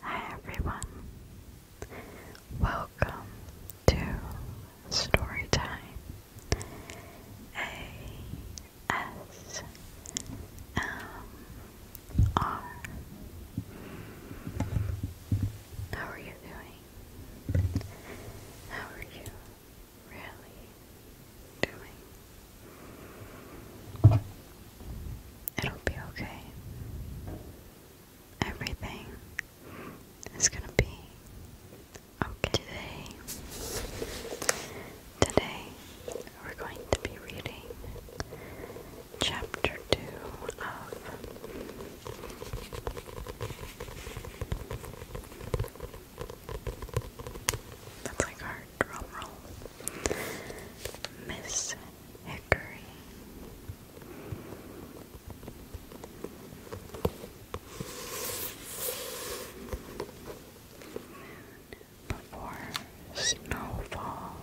Hi everyone. Welcome to Storytime. A S M R. How are you doing? How are you really doing. It'll be okay. Everything is gonna be okay. Today, today we're going to be reading chapter two of that's like hard drum Miss Hickory. before snowfall.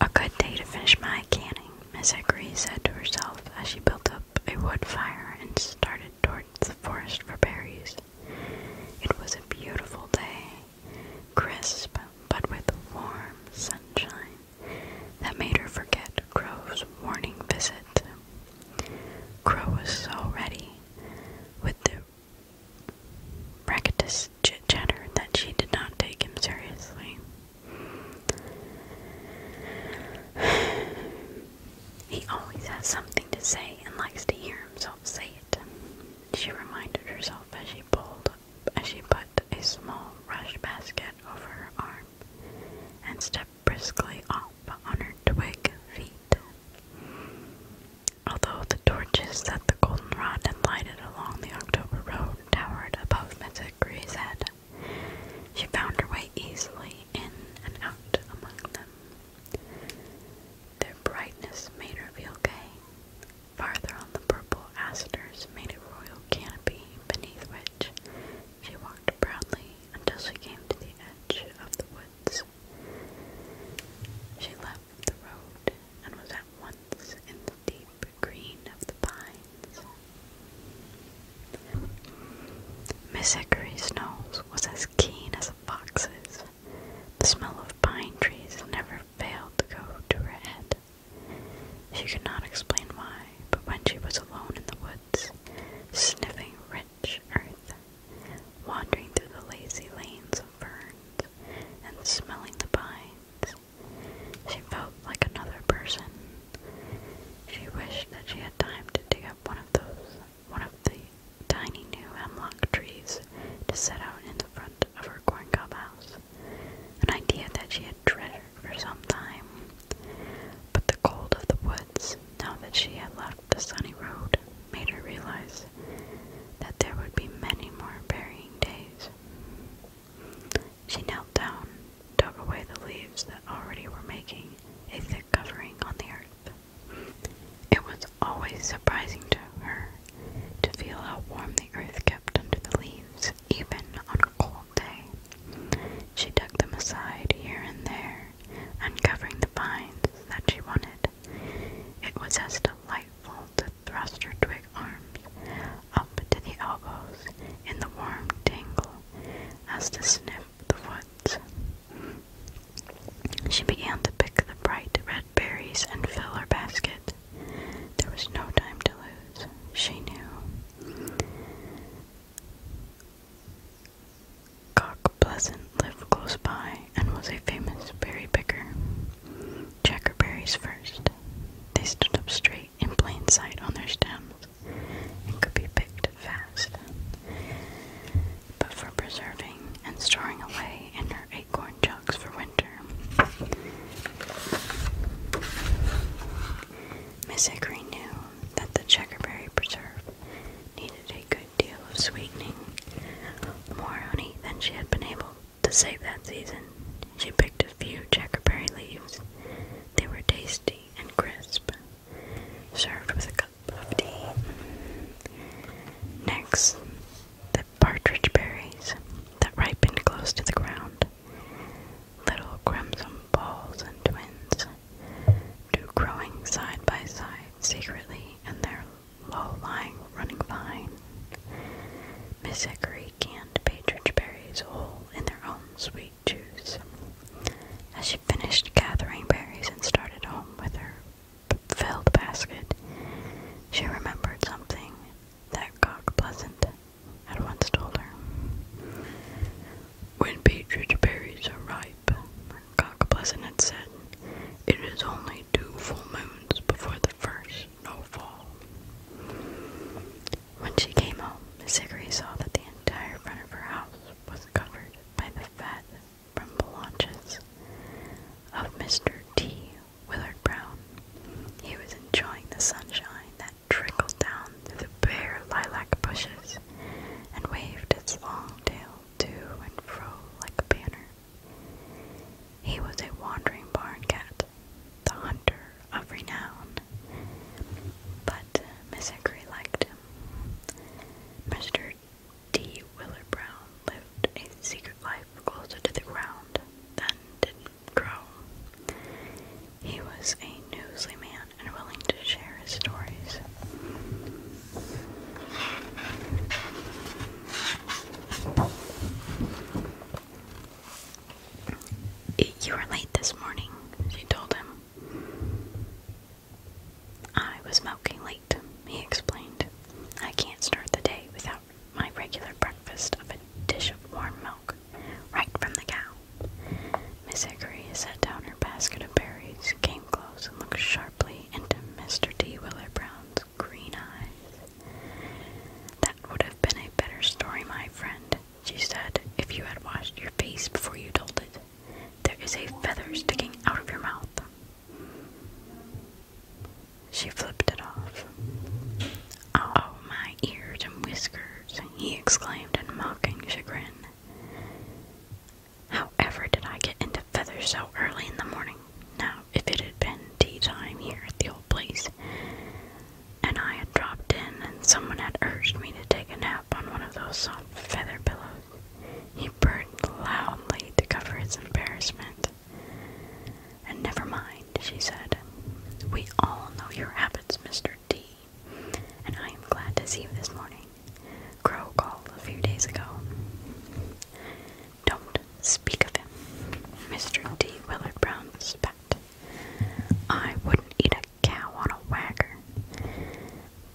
A good day to finish my canning, Miss Hickory said to herself as she built up a wood fire and started toward the forest for berries. It was a beautiful day, crisp but with warm sunshine that made her forget Crow's warning visit. Crow was so ready with the racketous chit chatter that she did not take him seriously. He always has something to say and likes to hear himself say it. She reminded herself as she pulled, as she put a small rush basket over her arm and stepped briskly up on her twig feet. Although the torches that the goldenrod had lighted along the October road towered above Mrs. Gray's head. She found her way easily in and out among them. Their brightness made her feel gay. Farther on the purple asters made a royal canopy beneath which she walked proudly until she came to the edge of the woods. She left the road and was at once in the deep green of the pines. Miss Hickory's nose was as keen as a fox's. The smell of pine trees never failed to go to her head. She could not explain why, but when she was alone in the woods, sniffing rich earth, wandering through the lazy lanes of ferns, and smelling the pines, she felt like another person. She wished that she had time to dig up one of those, one of the tiny new hemlock trees to set out in the front of her corn cob house. An idea that she had treasured for some time. But the cold of the woods, now that she had left the sunny road, made her realize that there would be many more burying days. She knelt down, dug away the leaves that already were making a thick covering on the earth. It was always surprising to her to feel how warm the earth kept under the leaves, even on a cold day. She dug them aside here and there, uncovering the vines that she wanted. It was as delightful to thrust her twig arms up to the elbows in the warm tangle as to sniff the woods. She began to pick the bright red berries and fill her basket. There was no time to lose, she knew. Cock Pleasant lived close by and was a famous berry picker. Checkerberries first. They stood up straight in plain sight on their stems and could be picked fast. But for preserving and storing away in her acorn jugs for winter, Miss Hickory knew that the checkerberry preserve needed a good deal of sweetening, more honey than she had been able to save that season, she picked a few checkerberry leaves. They were tasty and crisp, served with a cup of tea. Next, the partridge berries that ripened close to the ground. Little crimson balls and twins, two growing side by side secretly in their low lying running vine. Miss Hickory canned Patridge berries all in their own sweet juice. As she finished gathering berries and started home with her filled basket, she remembered something that Cock Pleasant had once told her. When Patridge berries are ripe, Cock Pleasant had said, it is only two full moons before the first snowfall. When she came home, Sigri saw that the entire front of her house was covered by the fat bramble launches of Mr. T. Willard Brown. He was enjoying the sunshine that trickled down through the bare lilac bushes and waved its long tail to and fro like a banner. He was a wandering barn cat, the hunter of renown. But Misicry liked him. Mr. D. Willard Brown lived a secret life closer to the ground than did Crow. He was a newsy man and willing to share his stories. You were late this morning, she told him. I was milking late, he explained. I can't start the day without my regular breakfast of a dish of warm milk, right from the cow. Miss Hickory set down her basket of berries, came close, and looked sharply into Mr. D. Willer Brown's green eyes. That would have been a better story, my friend, she said, if you had washed your face before you told it. There is a feather sticking out of your mouth. She flipped it off. Oh, my ears and whiskers, he exclaimed in mocking chagrin. However, did I get into feathers so early in the morning? Now, if it had been tea time here at the old place, and I had dropped in and someone had urged me to take a nap on one of those soft feather pillows, he purred loudly to cover his embarrassment. And never mind, she said. We all know your habits, Mr. D, and I am glad to see you this morning. Crow called a few days ago. Don't speak of him. Mr. D. Willard Brown spat. I wouldn't eat a cow on a wagger.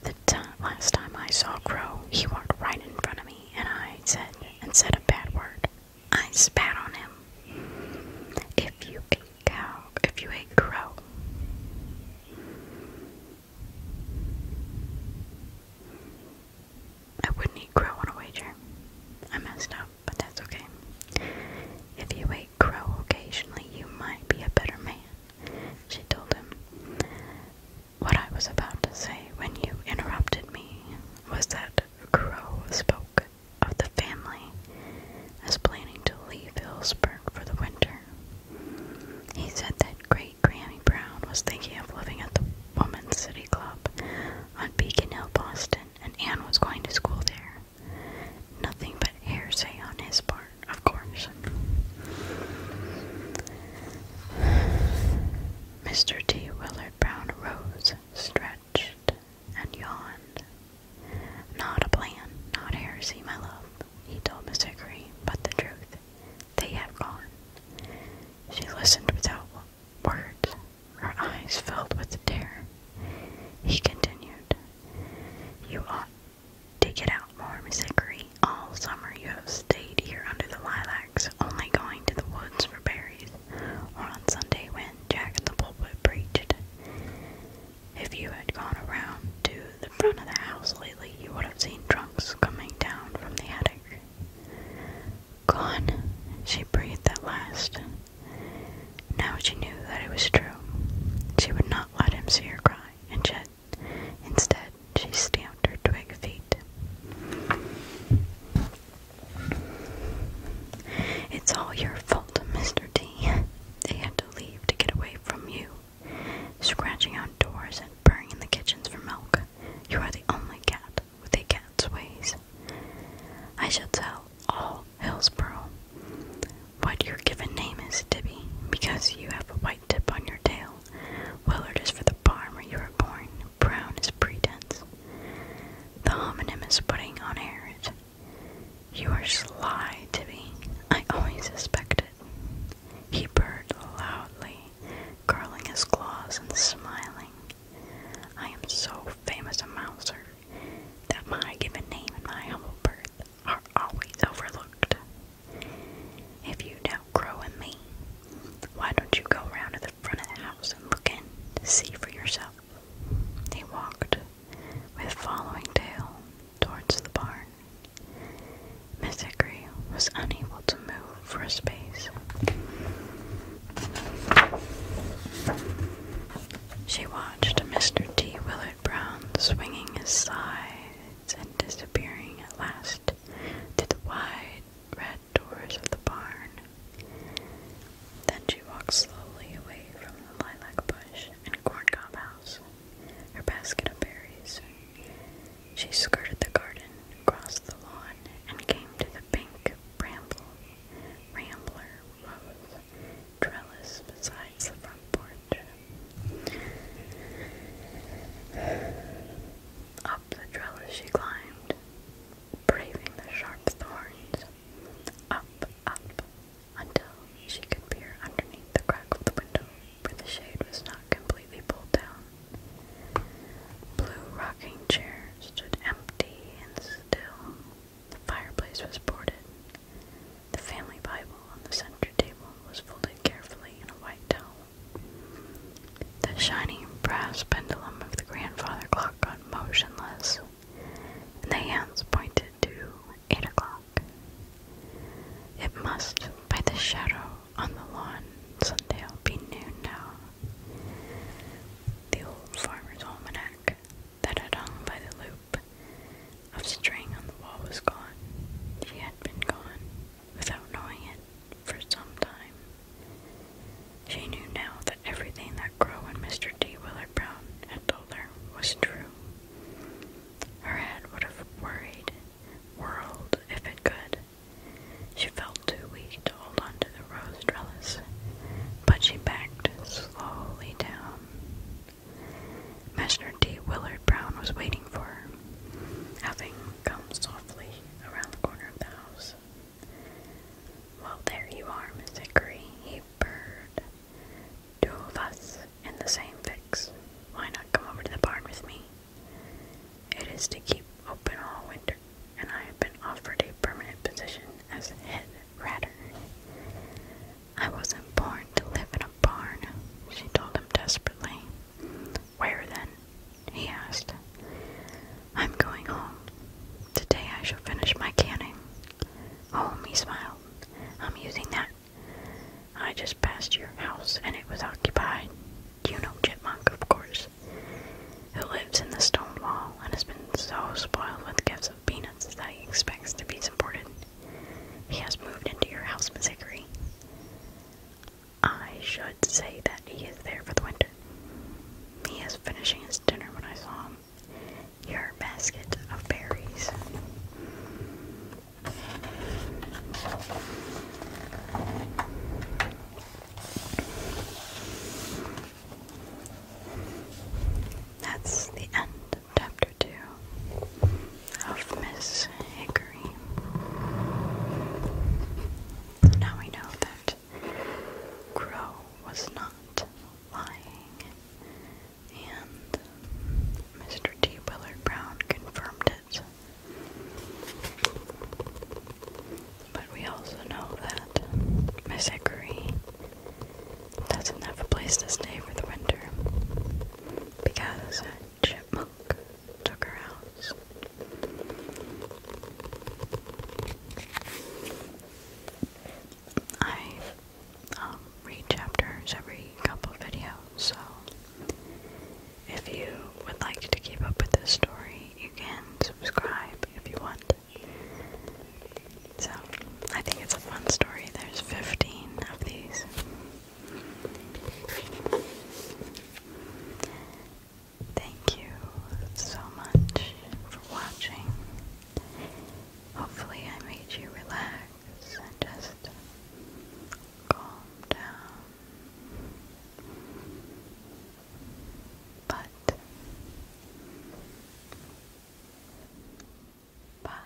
The last time I saw Crow, he walked right in front of me, and I said and said a bad word. I spat on him. If you ate cow, if you ate Crow. I wouldn't eat crow on a wager. I messed up, but that's okay. If you ate crow occasionally, you might be a better man, she told him. What I was about to say when you interrupted me was that Crow spoke of the family as planning to leave Hillsburg for the winter. He said that Great Granny Brown was thinking of living at the Women's City Club on Beacon Hill, Boston, and Anne was going to school there. Nothing but hearsay on his part, of course. Mr. T. Willard Brown rose, stretched, and yawned. Not a plan, not heresy, my love, he told Miss Hickory, but the truth. They have gone. She listened without word, her eyes filled with terror. He continued, You ought to get out more, Miss Hickory. All summer you have stayed here under the lilacs, only going to the woods for berries, or on Sunday when Jack in the pulpit preached. If you had gone around to the front of the house lately, you would have seen trunks coming down from the attic. Gone, she breathed at last. Now she knew that it was true. She would not let him see her cry, and yet, instead, she stamped her twig feet. It's all your fault, Mr. T. They had to leave to get away from you. Scratching out doors and burning the kitchens for milk. You are the only cat with a cat's ways. I shall tell all Hillsborough what your given name is, Tibby, because you have a white tip on your tail. Willard is for the barn where you were born. Brown is pretense. The homonym is putting on airs. You are sly, Tibby. I always suspected. He burped loudly curling his claws and smiling. I am so famous a mouser that my given name and my humble birth are always overlooked. If you don't Crow and me, why don't you go round to the front of the house and look in to see for yourself? He walked with following tail towards the barn. Miss Hickory was unable to move for a space. She watched Mr. T. Willard Brown swinging his sides and disappearing at last to the wide red doors of the barn. Then she walked slowly away from the lilac bush and corn cob house, her basket of berries. She skirted the garden, crossed the lawn and came to the pink bramble rambler rose trellis besides the front porch. Up the trellis she climbed, braving the sharp thorns. Up, up, until she could peer underneath the crack of the window for the shade was not completely pulled down. Blue rocking chair stood empty and still. The fireplace was boarded. The family Bible on the center table was folded carefully in a white towel. The shining brass pendulum of the grandfather clock got motionless, and the hands pointed to eight o'clock. It must, by the shadow on the lawn. Sunday will be noon now. The old farmer's almanac that had hung by the loop of string on the wall was gone. She had been gone without knowing it for some time. She knew now that everything that Crow and Mr. D. Willard Brown had told her was true. Her head would have worried world if it could. She felt too weak to hold on to the rose trellis, but she backed slowly down. Master T. Willard Brown was waiting for her, having come softly around the corner of the house. Well, there you are, Miss Hickory, he purred. Two of us in the same fix. Why not come over to the barn with me? It is to keep open all winter, and I have been offered a permanent position as head ratter. I wasn't born to live in a barn, she told him desperately. Where then? he asked. I'm going home. Today I shall finish my canning. Home, oh, he smiled. I'm using that. I just passed your house and it was occupied. You know Chipmunk, of course, who lives in the stone wall and has been so spoiled with gifts of peanuts that he expects to be supported. He has moved into your house, Miss Hickory. I should say that he is there for the winter. He is finishing his dinner when I saw him. Your basket of berries. That's the end of chapter two of Miss Hickory. Now we know that Crow was not lying, and Mr. T. Willard Brown confirmed it but we also know that Miss Hickory doesn't have a place to stay for the winter because a chipmunk took her house. I um, read chapters every couple videos, so if you would like to keep up with this story, you can subscribe if you want. So, I think it's a fun story. There's 15 of these. Thank you so much for watching. Hopefully, I made you relax just calm down. But bye.